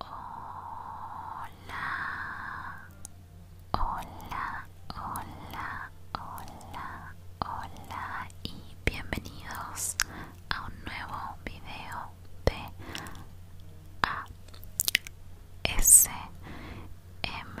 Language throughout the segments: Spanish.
Hola, hola, hola, hola, hola y bienvenidos a un nuevo video de M.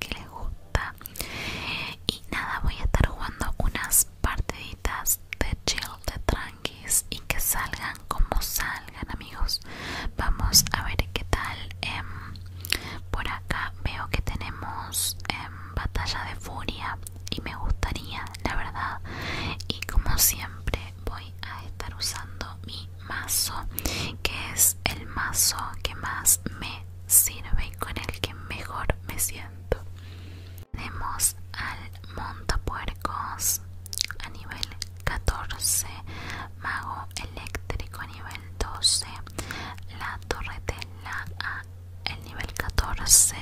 que les gusta y nada voy a estar jugando unas partiditas de chill de tranquis y que salgan como salgan amigos vamos a ver qué tal em, por acá veo que tenemos em, batalla de furia y me gustaría la verdad y como siempre voy a estar usando mi mazo que es el mazo que más me sirve y con el que mejor me siento tenemos al montapuercos a nivel 14 mago eléctrico a nivel 12 la torretela a el nivel 14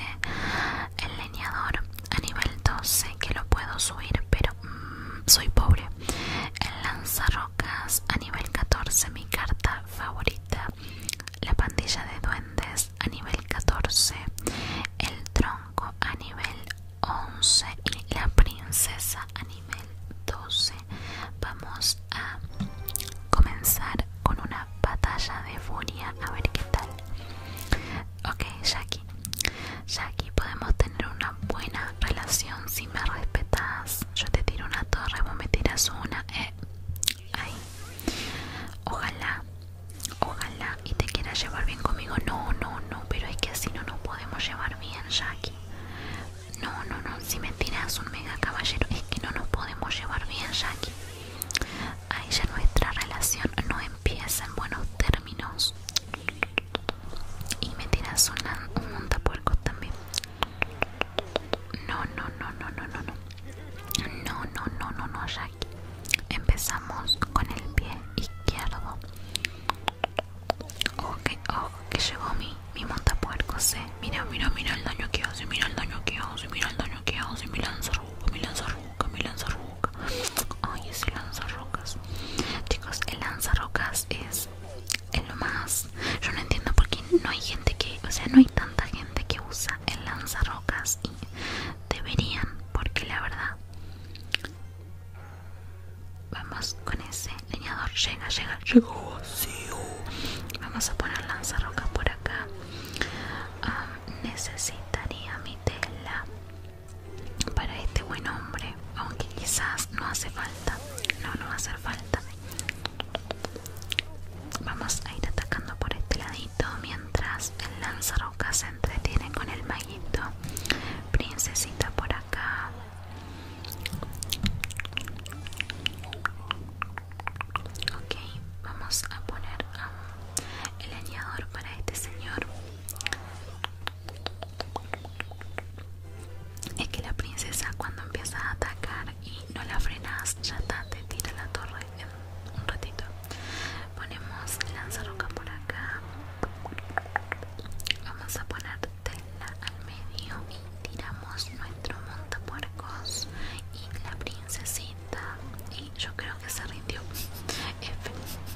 el leñador a nivel 12 que lo puedo subir pero Mm, soy pobre. El lanzarrocas a nivel 14, mi carta favorita. La pandilla de duendes a nivel 14. El tronco a nivel 11 y la princesa a nivel 12. Vamos a comenzar con una batalla de furia a ver qué tal. Ok, Jackie. Jackie podemos tener una buena relación si me respetas. Yo te tiro una torre, vos me tiras una. Eh. Ojalá, ojalá y te quieras llevar bien conmigo. No, no, no, pero es que así no nos podemos llevar bien, Jackie. No, no, no, si me tiras un mega caballero es que no nos podemos llevar bien, Jackie. Ahí ya nuestra relación no empieza en buenos términos y me tiras un montapuerco también no no no no no no no no no no no no Jackie empezamos con el pie izquierdo okay, oh, oh, que llegó mi, mi montapuercos eh mira mira mira el daño que hace mira el daño que hace mira el daño que hace mi lanzarruca mi lanzarruca mi lanzarruca ay ese lanzarrocas chicos el lanzarrocas es es lo más. Yo no entiendo por qué no hay gente que, o sea, no hay tanta gente que usa el lanzarrocas y deberían, porque la verdad. Vamos con ese leñador, llega, llega, llega vacío, uh. Vamos a poner lanzarrocas por acá. Ah, necesitaría mi tela para este buen hombre, aunque quizás no hace falta, no, no va a hacer falta. Vamos a ir atacando por este ladito mientras el lanzarroca se entretiene con el maguito. Princesita por acá. Ok, vamos a poner el añador para este señor. Es que la princesa cuando empieza a atacar y no la frenas, ya está, te tira la torre en un ratito. Ponemos lanzaroca por acá. Vamos a poner tela al medio y tiramos nuestro montapuercos y la princesita. Y yo creo que se rindió.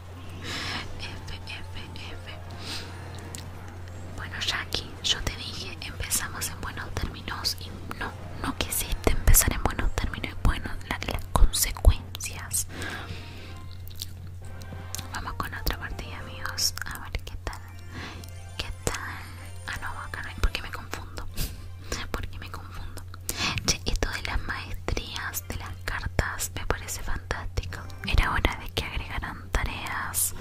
Bueno, Jackie, yo te dije, empezamos en buenos términos y no, no quisiste empezar en buenos términos. y Bueno, la, las consecuencias. Vamos con otra partida, amigos. A ver qué tal. ¿Qué tal? Ah, no, acá Porque me confundo. Porque me confundo. Che, esto de las maestrías, de las cartas me parece fantástico. Era hora de que agregaran tareas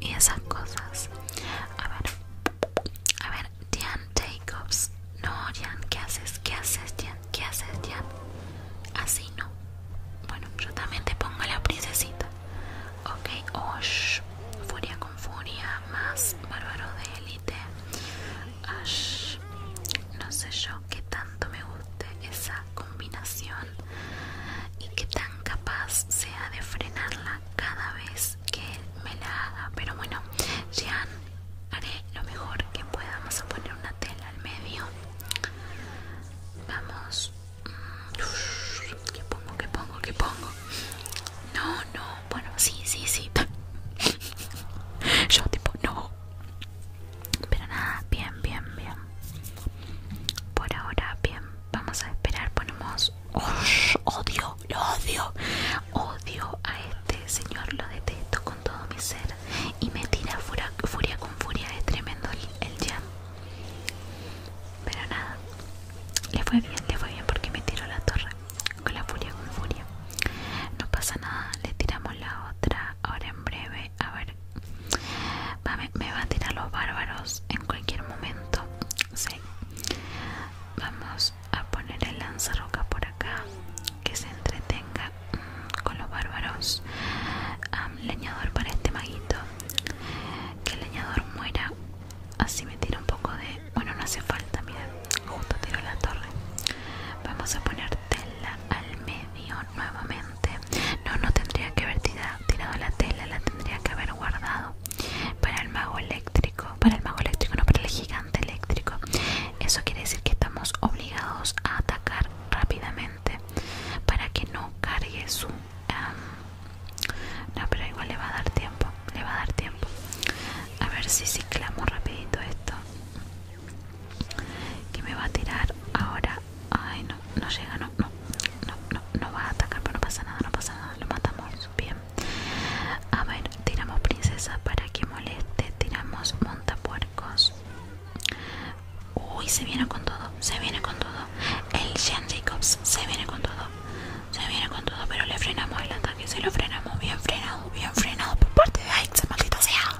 y esas cosas. A ver, a ver, Diane Jacobs. No, Diane ¿qué haces? ¿Qué haces, Diane? ¿Qué haces, dian Así no. Bueno, yo también te pongo la princesita. Ok, Osh. Furia con furia, más bárbaro de élite. No sé yo qué tanto me guste esa combinación y que tan capaz sea de frenarla cada vez que me la haga. Pero bueno, Jean, haré lo mejor que pueda. Vamos a poner una tela al medio. Vamos. ¿Qué pongo? ¿Qué pongo? que pongo? No, no. Bueno, sí, sí, sí. Yo tipo, no. Pero nada, bien, bien, bien. Por ahora, bien. Vamos a esperar. Ponemos. odio, lo odio. Odio a este señor, lo detesto con todo mi ser. Y me tira furia, furia con furia. Es tremendo el, el Pero nada. Le fue bien, le fue bien porque me tiró la torre. Con la furia, con furia. No pasa nada, le tiramos la otra. Ahora en breve a ver me, van va a tirar los bárbaros en cualquier momento vamos a poner el lanzarroca por acá que se entretenga mm, con los bárbaros leñador para este maguito que el leñador muera así me tira un poco de bueno no hace falta mira justo tiro la torre vamos a poner tela al medio nuevamente no, no tendría que haber tirado la tela, la tendría que haber guardado para el mago eléctrico. Para el mago eléctrico, no para el gigante eléctrico. Eso quiere decir que estamos obligados a atacar rápidamente para que no cargue su... no, pero igual le va a dar tiempo, le va a dar tiempo. A ver si ciclamos rapidito esto que me va a tirar ahora ay no no llega no no no no va a atacar pero no pasa nada no pasa nada lo matamos bien a ver tiramos princesa para que moleste tiramos montapuercos uy se viene con todo se viene con todo el Jen Jacobs se viene con todo se viene con todo pero le frenamos el ataque se lo frenamos bien frenado bien frenado por parte de Aix maldita sea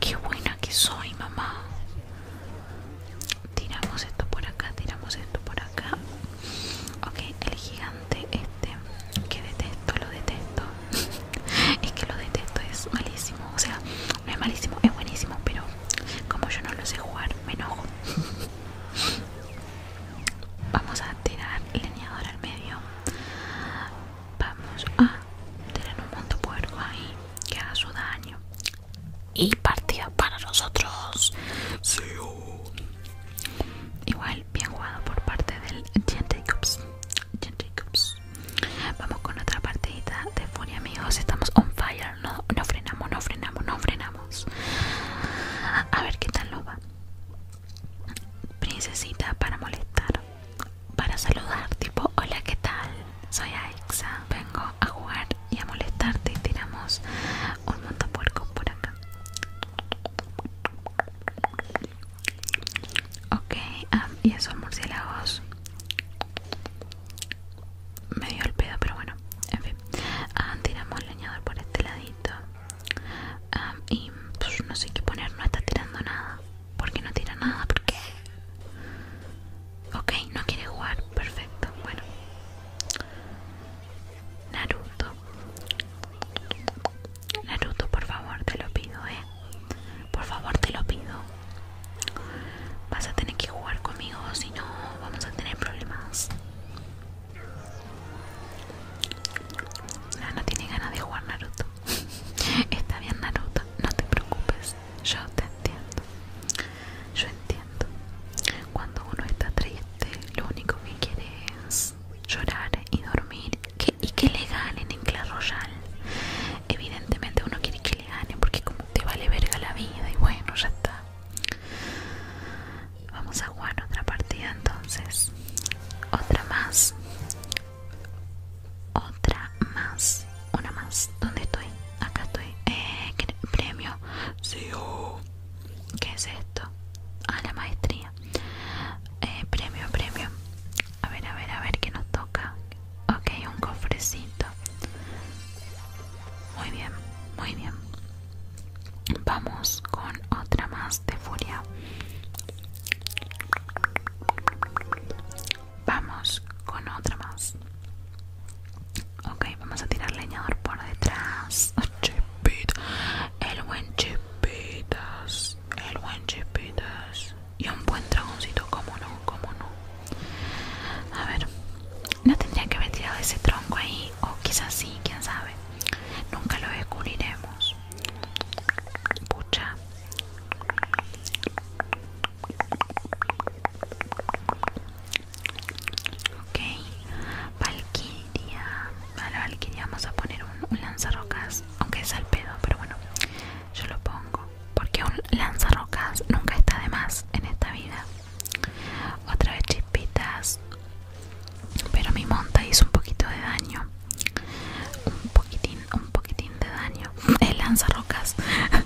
qué buena que soy mamá. Tiramos esto por acá, tiramos esto por acá. Ok, el gigante este que detesto, lo detesto. es que lo detesto, es malísimo. O sea, no es malísimo, es buenísimo, pero como yo no lo sé jugar, me enojo. Vamos a tirar el leñador al medio. Vamos a tienen un monte puerco ahí que haga su daño y partida para nosotros igual bien jugado por parte del Jen Jacobs. vamos con otra partidita de furia amigos estamos on fire no, frenamos no frenamos no frenamos a ver qué tal nos va princesita para molestar para saludar, tipo, hola, ¿qué tal? Soy Aixa, vengo a jugar y a molestarte y tiramos un montón montapuerco por acá. Ok, ah, y esos murciélagos me dio el pedo, pero bueno, en fin. Ah, tiramos el leñador por este ladito. Ah, y pues, no sé qué poner, no está tirando nada porque no tira nada, porque... Ok, no quiere jugar, perfecto, bueno. Naruto. Naruto, por favor, te lo pido, eh. Por favor, te lo pido. Vas a tener que jugar conmigo, si no, vamos a tener problemas. No, no tiene ganas de jugar Naruto. Está bien Naruto, no te preocupes, yo te entiendo. Yo entiendo. Cuando uno está triste, lo único que quiere es llorar y dormir y que le ganen en Clash Royale. Evidentemente uno quiere que le ganen porque como te vale verga la vida y bueno, ya está. Vamos a jugar otra partida entonces. Otra más. Otra más, una más. ¿Dónde estoy? Acá estoy. Eh, premio. Sí, e ¿Qué es esto? a ah, la maestría. Eh, premio, premio. A ver, a ver, a ver qué nos toca. Ok, un cofrecito. Muy bien, muy bien. Vamos con otra más de furia. Vamos con otra más. Ok, vamos a tirar leñador por detrás. el buen chipitas, el buen chipitas. Y un buen dragoncito, como no, como no. A ver, no tendría que haber tirado ese tronco ahí, o quizás sí, quién sabe. Nunca lo descubriremos. Pucha, Ok, Valkyria. A la Valkyria vamos a poner un, lanzarrocas, aunque es al pedo, pero bueno, yo lo pongo. Porque un lanzarrocas nunca está de más en esta vida. Otra vez chispitas. Pero mi monta hizo un poquito de daño. Un un poquitín de daño. El rocas,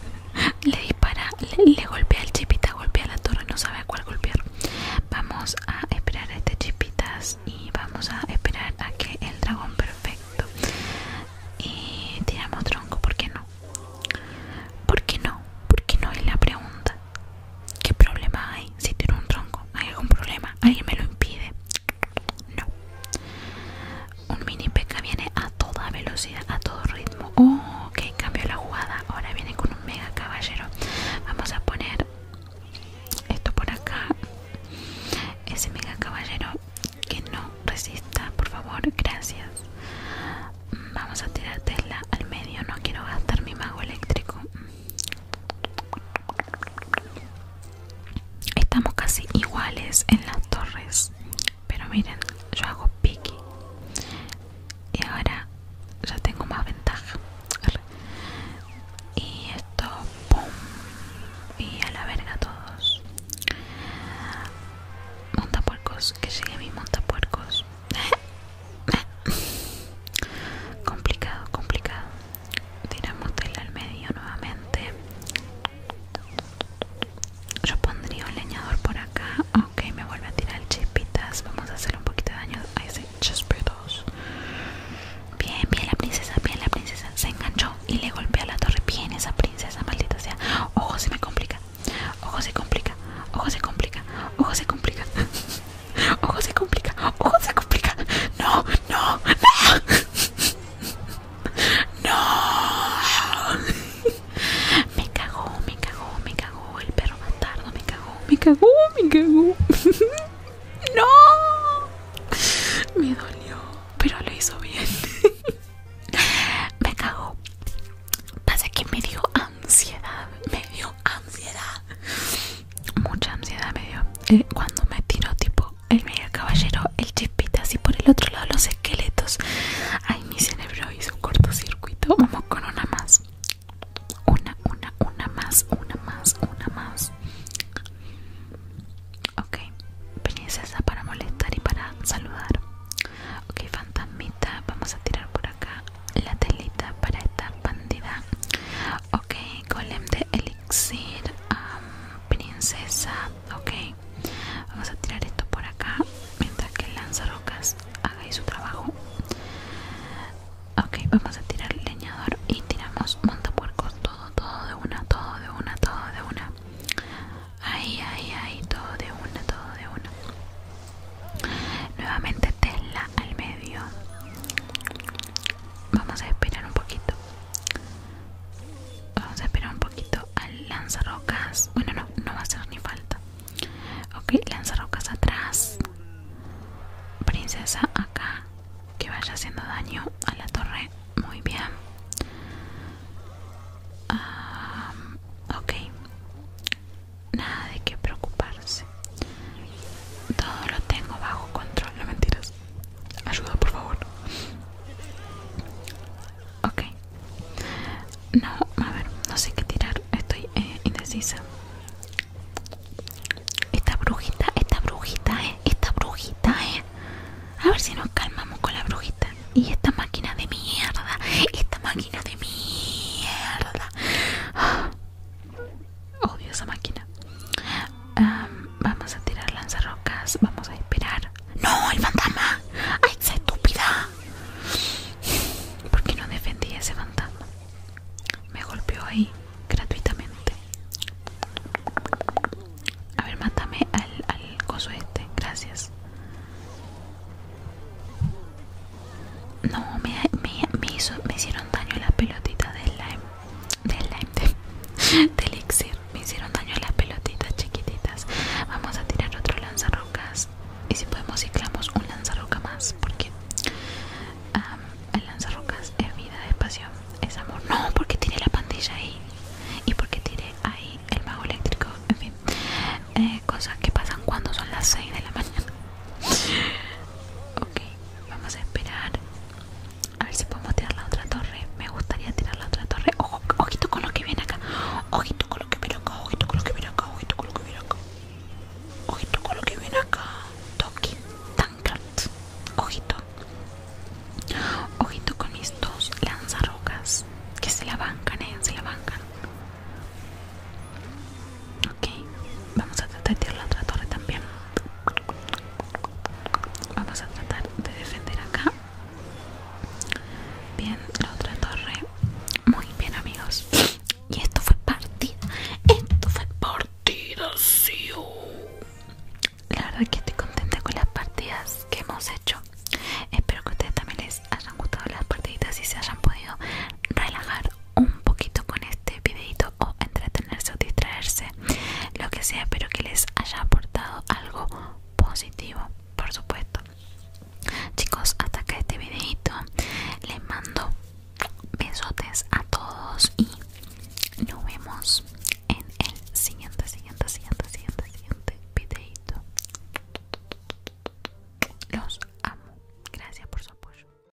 le dispara, le, golpea el chipita, golpea la torre, no sabe cuál golpear. Vamos a esperar a este chipitas y vamos a esperar a que el dragón perfecto. Y eh, tiramos tronco, ¿por qué no? ¿Por qué no? ¿Por qué no? Es la pregunta. ¿Qué problema hay si tiro un tronco? ¿Hay algún problema? ¿Alguien me lo impide? No. Un mini P.E.K.K.A viene a toda velocidad, a todo ritmo. ok, oh, cambio la jugada. Ahora viene con un mega caballero. Vamos a poner esto por acá. Ese mega caballero que no resista, por favor, gracias. Vamos a tirar Tesla al medio. No quiero gastar mi mago eléctrico. Estamos casi iguales en las torres, pero miren, yo hago piqui y ahora ya tengo más ventaja. Y esto, pum, y a la verga todos. Montapuercos, que llegue mi montapuercos. complicado, complicado tiramos tela al medio nuevamente yo pondría un leñador por acá ok me vuelve a tirar chispitas vamos a hacerle un poquito de daño a ese chispitos bien bien la princesa bien la princesa se enganchó y le golpea la torre bien esa princesa maldita sea ojo se me complica ojo se complica ojo se complica ojo se complica ojo se complica ojo se complica no no, no, no, me cagó, me cagó, me cagó, el perro bastardo me cagó, me cagó, me cagó, no, me dolió, pero lo hizo bien, me cagó, pasa que me dio ansiedad, me dio ansiedad mucha ansiedad me dio eh, cuando me tiró tipo el mega caballero, el chispita así por el otro lado los esqueletos. Ay, mi cerebro hizo un cortocircuito. Vamos con una más. Una, una, una más, una más, una más. Ok, princesa para molestar y para saludar. Ok, fantasmita, vamos a tirar por acá la telita para esta bandida ok golem de elixir princesa ok vamos a tirar esto por acá mientras que el lanzarrocas haga su trabajo ok vamos a tirar el leñador y tiramos montapuercos todo todo de una todo de una todo de una ahí ahí ahí todo de una todo de una Nuevamente Tesla al medio Vamos a esperar un poquito. Vamos a esperar un poquito al lanzarrocas. Bueno, no, no va a hacer ni falta. Ok, lanzarrocas atrás. Princesa acá. Que vaya haciendo daño a la torre. Muy bien. Ah, ok. Nada de qué preocuparse. Todo lo tengo bajo control, no mentiras. Ayuda, por favor. Ok. No, a ver, no sé qué tirar. Estoy eh, indecisa. Esta brujita, esta brujita, eh, Esta brujita, eh. A ver si nos calmamos con la brujita. Y esta máquina de mierda. Esta máquina de mierda. Odio esa máquina. vamos a tirar lanzarrocas. Vamos a esperar. ¡No! ¡El fantasma! ¡Ay, esa estúpida! porque no defendí ese fantasma? Me golpeó ahí gratuitamente. A ver, mátame al, al coso este. Gracias. No, me, me, me hicieron daño las pelotitas de slime. del elixir me hicieron daño las pelotitas chiquititas vamos a tirar otro lanzarrocas y si podemos ciclamos un lanzarroca más porque el lanzarrocas es vida es pasión es amor no porque tiene la pandilla ahí y porque tiene ahí el mago eléctrico en fin eh, cosas que pasan cuando son las 6 de la mañana ok Vamos a esperar A ver si podemos tirar la otra torre Me gustaría tirar la otra torre Ojito con lo que viene acá Ojito con lo que viene acá Ojito con lo que viene acá Ojito con lo que viene acá Ojito con lo que viene acá Toki Tankard, Ojito Ojito con mis dos lanzarrocas Que se la bancan, eh Se la bancan Ok, vamos a tratar de tirar la otra torre también. Vamos a tratar de defender acá. Bien, la otra torre. Muy bien, amigos. Y esto fue partida. Esto fue partida, La verdad que estoy contenta con las partidas que hemos hecho. Espero que a ustedes también les hayan gustado las partiditas y se hayan podido relajar un poquito con este videito o entretenerse o distraerse, lo que sea, pero que les haya aportado algo positivo, por supuesto. Chicos, hasta acá este videito. Les mando besotes a todos y nos vemos en el siguiente, siguiente, siguiente, siguiente, siguiente videito. Los amo. Gracias por su apoyo.